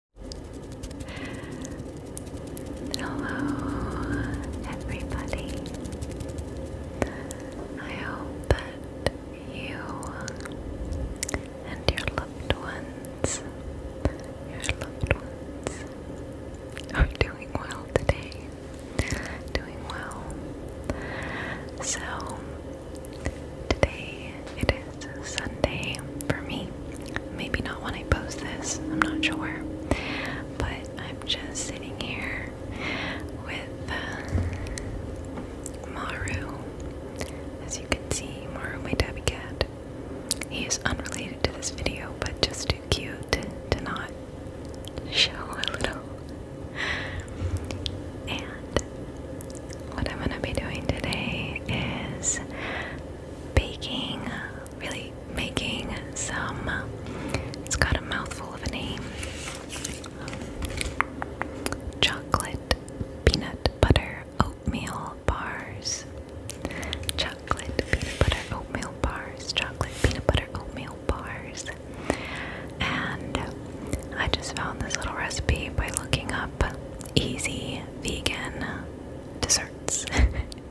Hello, everybody. I hope that you and your loved ones, your loved ones, are doing well today. Doing well. So, today it is it's Sunday for me. Maybe not when I post this, I'm not sure. But I'm just sitting here with uh, Maru. As you can see, Maru, my tabby cat. He is unrelated to this video, but just too cute to not show a little. And what I'm going to be doing today is baking, really making some. It's got a mouthful of a name chocolate peanut butter oatmeal bars. Chocolate peanut butter oatmeal bars. Chocolate peanut butter oatmeal bars. And I just found this little recipe by looking up easy vegan desserts,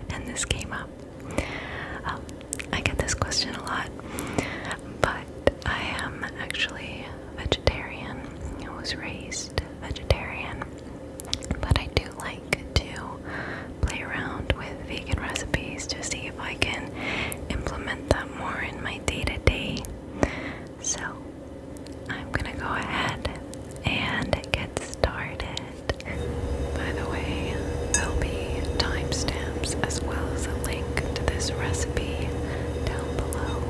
and this came up. Um, I get this question a lot, but I am actually vegetarian. I was raised vegetarian, but I do like to play around with vegan recipes to see if I can implement them more in my day to day. So I'm gonna go ahead and get started. By the way, there'll be timestamps as well as a link to this recipe down below.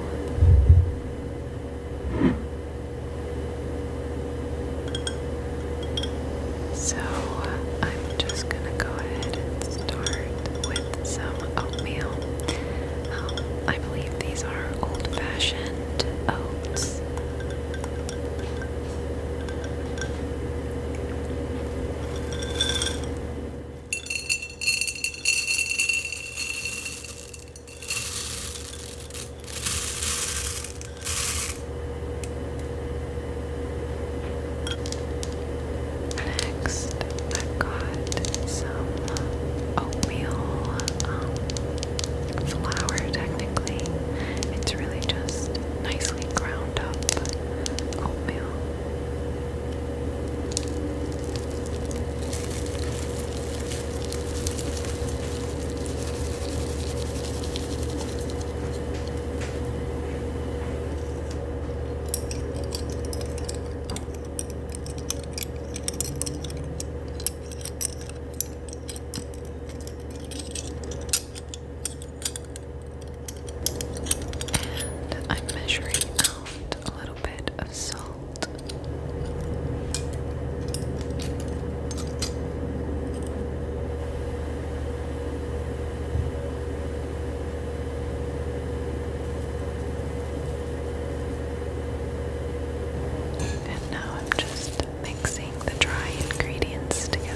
So I'm just gonna go ahead and start with some oatmeal. Um, I believe these are old fashioned and oats. Next, I got some oatmeal um, flour technically. It's really just nicely ground up oatmeal. I'm measuring out a little bit of salt. And now I'm just mixing the dry ingredients together.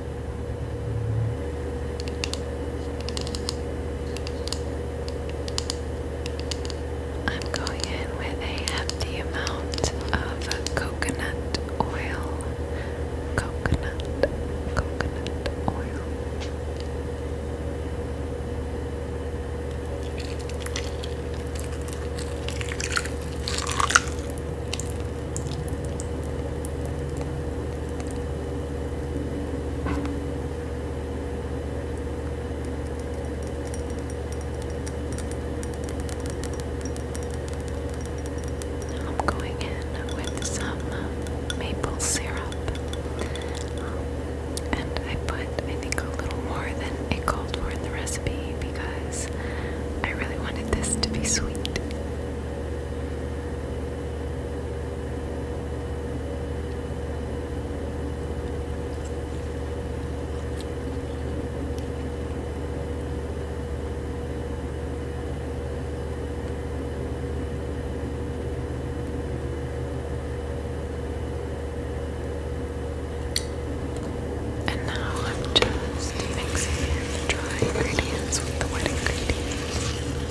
I'm going in with a hefty amount of coconut oil. Coconut, coconut oil. I'm going in with some maple syrup. Um, and I put, I think, a little more than it called for in the recipe because I really wanted this to be sweet. And now I'm just mixing in the dry ingredients with the wet ingredients.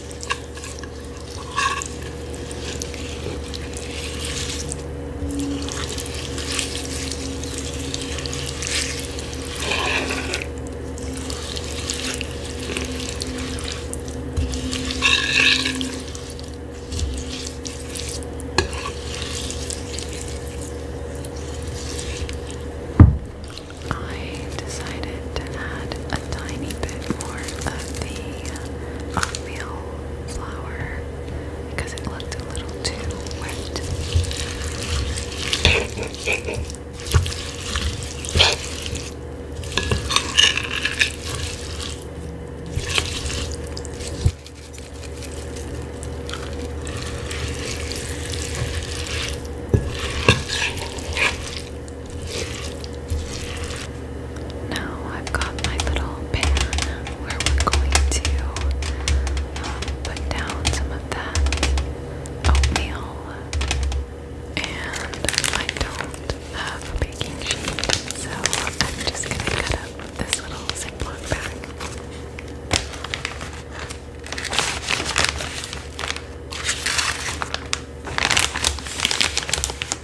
I decided to add tiny bit more of the uh, oatmeal flour because it looked a little too wet. Now I've got my little pan where we're going to um, put down some of that oatmeal. And I don't have a baking sheet, so I'm just going to cut up this little Ziploc bag.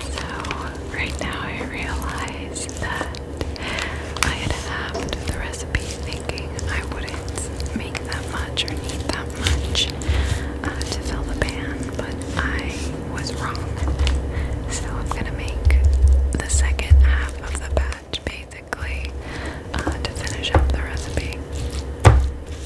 So, right now I realize that I had halved the recipe thinking I wouldn't make that much or need that much uh, to fill the pan, but I was wrong. So, I'm gonna make the second half of the batch basically uh, to finish up the recipe.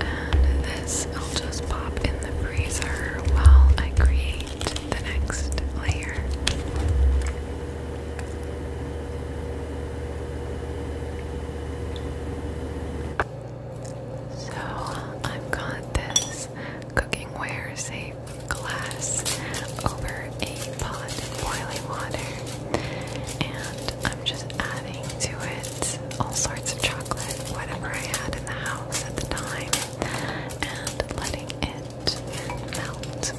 And this I'll just pop in the freezer while I create the next layer. So I've got this cookingware safe glass over a pot of boiling water, and I'm just adding to it all sorts of chocolate, whatever I had in the house at the time, and letting it melt.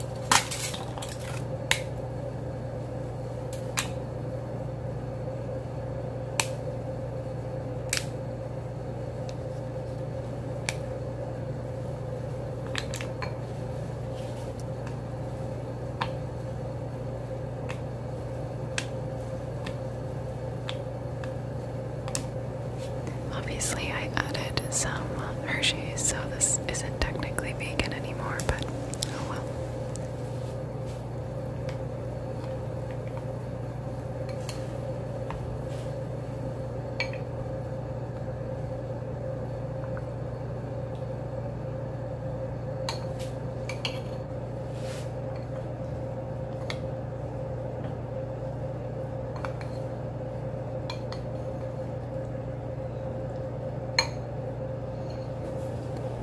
Obviously, I added some Hershey's, so this isn't technically vegan anymore, but oh well.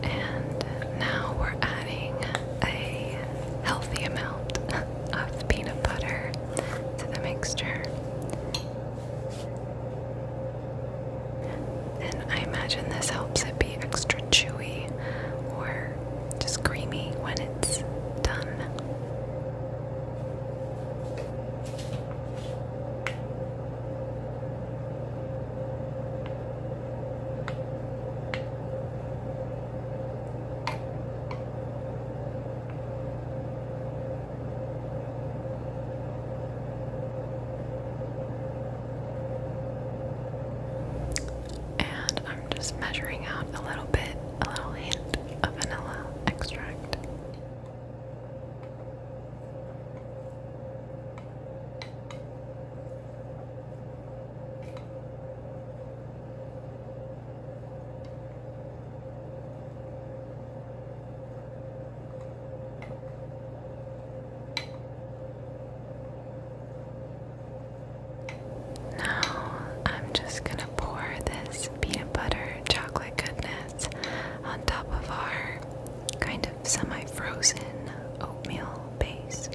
And now we're adding a healthy amount of peanut butter to the mixture. And I imagine this helps it be extra chewy or just creamy when it's done and I'm just measuring out a little bit, a little hint of vanilla extract. Now I'm just gonna pour this peanut butter chocolate goodness on top of our kind of semi frozen oatmeal base.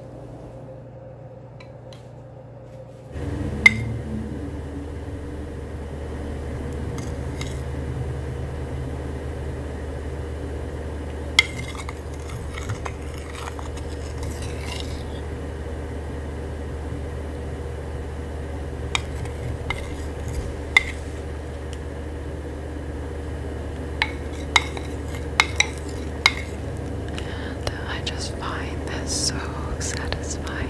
I just find this so satisfying.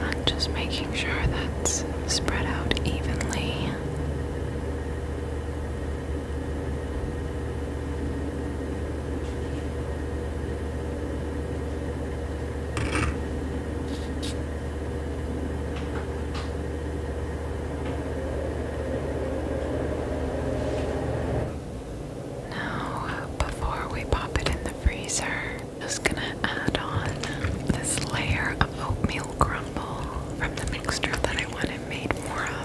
I'm just making sure that's spread out evenly. Now, before we pop it in the freezer, just gonna add on this layer of oatmeal crumble from the mixture that I wanted made more of.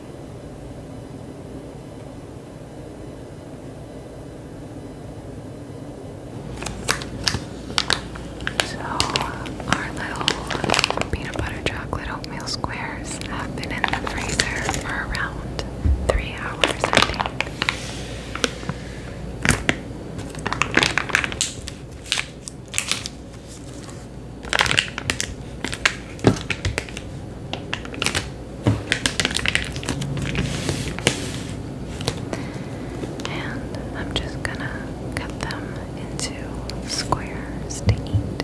So, our little peanut butter chocolate oatmeal squares have been in the freezer for around three hours, I think. And I'm just gonna cut them into squares to eat.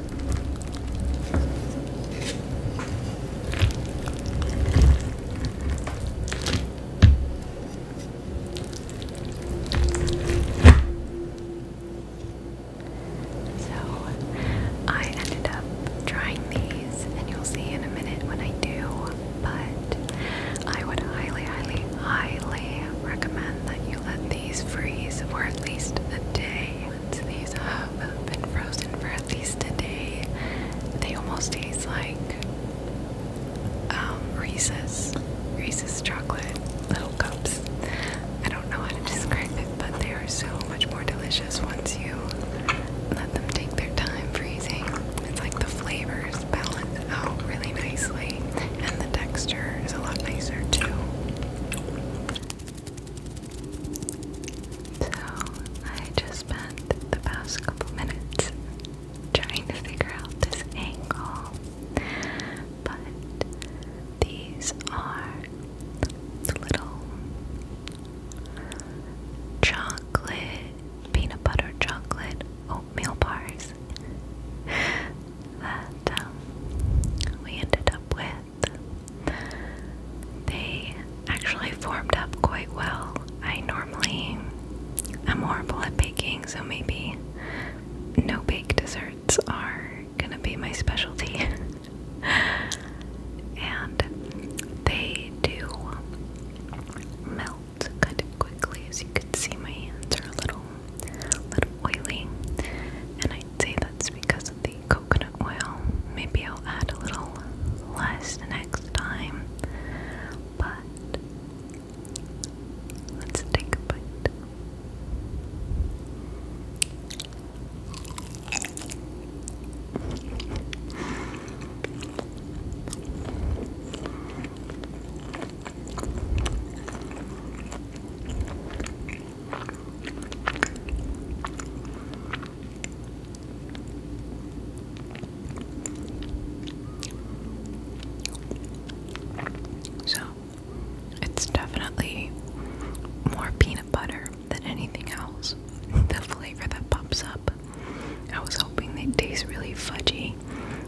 So I ended up trying these, and you'll see in a minute when I do, but I would highly, highly, highly recommend that you let these freeze for at least a day. Once these have been frozen for at least a day, they almost taste like um, Reese's, Reese's chocolate little cups. I don't know how to describe it, but they are so much more delicious once you let them take their time freezing. It's like the flavors balance out really nicely, and the texture is a lot nicer too. So I just spent the past couple minutes trying to figure out this angle, but these are little chocolate, peanut butter chocolate oatmeal bars that um, we ended up with. They actually formed up quite well. I normally am horrible at baking, so maybe no baked desserts are gonna be my specialty. and they do melt kind of quickly, as you can see. My hands are a little, little oily, and I'd say that's because of the coconut oil. Maybe I'll add a little less next time. But let's take a bite. So, it's definitely more peanut butter than anything else. The flavor that pops up. I was hoping they'd taste really fudgy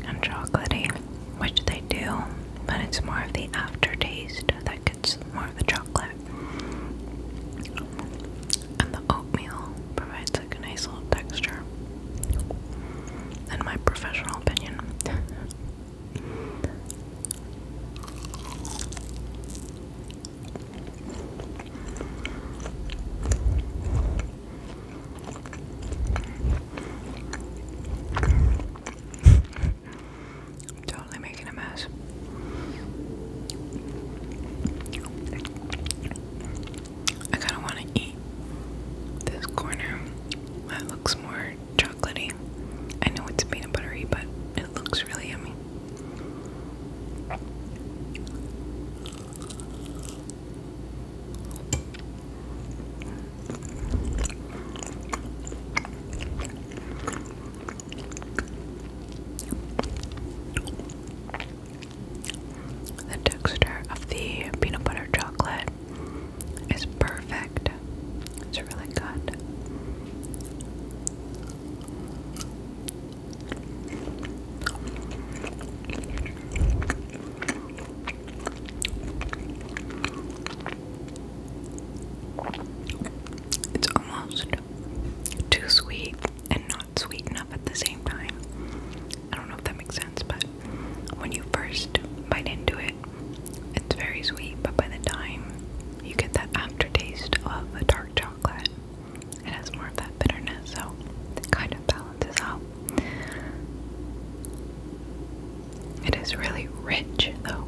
and chocolatey, which they do, but it's more of the aftertaste that it's more of the chocolate. And the oatmeal provides like a nice little texture. In my professional opinion. I'm totally making a mess. I kind of want to eat this corner that looks more chocolatey. I know it's peanut buttery, but it looks really yummy. The texture of the peanut butter chocolate is perfect. It's really good. It's almost too sweet and not sweet enough at the same time. I don't know if that makes sense, but when you first bite into it, it's very sweet, but by the time you get that aftertaste of the dark chocolate, it has more of that bitterness, so it kind of balances out. It is really rich, though.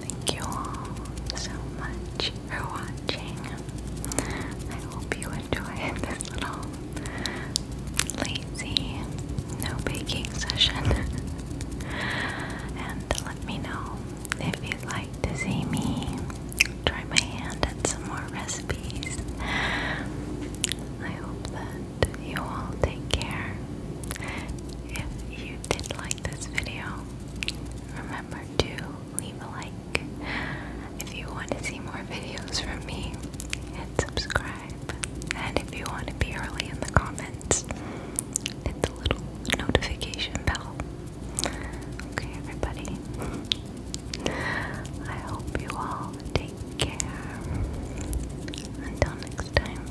Thank you all so much for watching. I hope you enjoyed this little lazy no baking session. and let me know if you'd like to see me try my hand at some more recipes. I hope that you all take care. If you did like this video, remember to leave a like if you want to see more videos from me and subscribe and if you want to be early in the comments hit the little notification bell okay everybody I hope you all take care until next time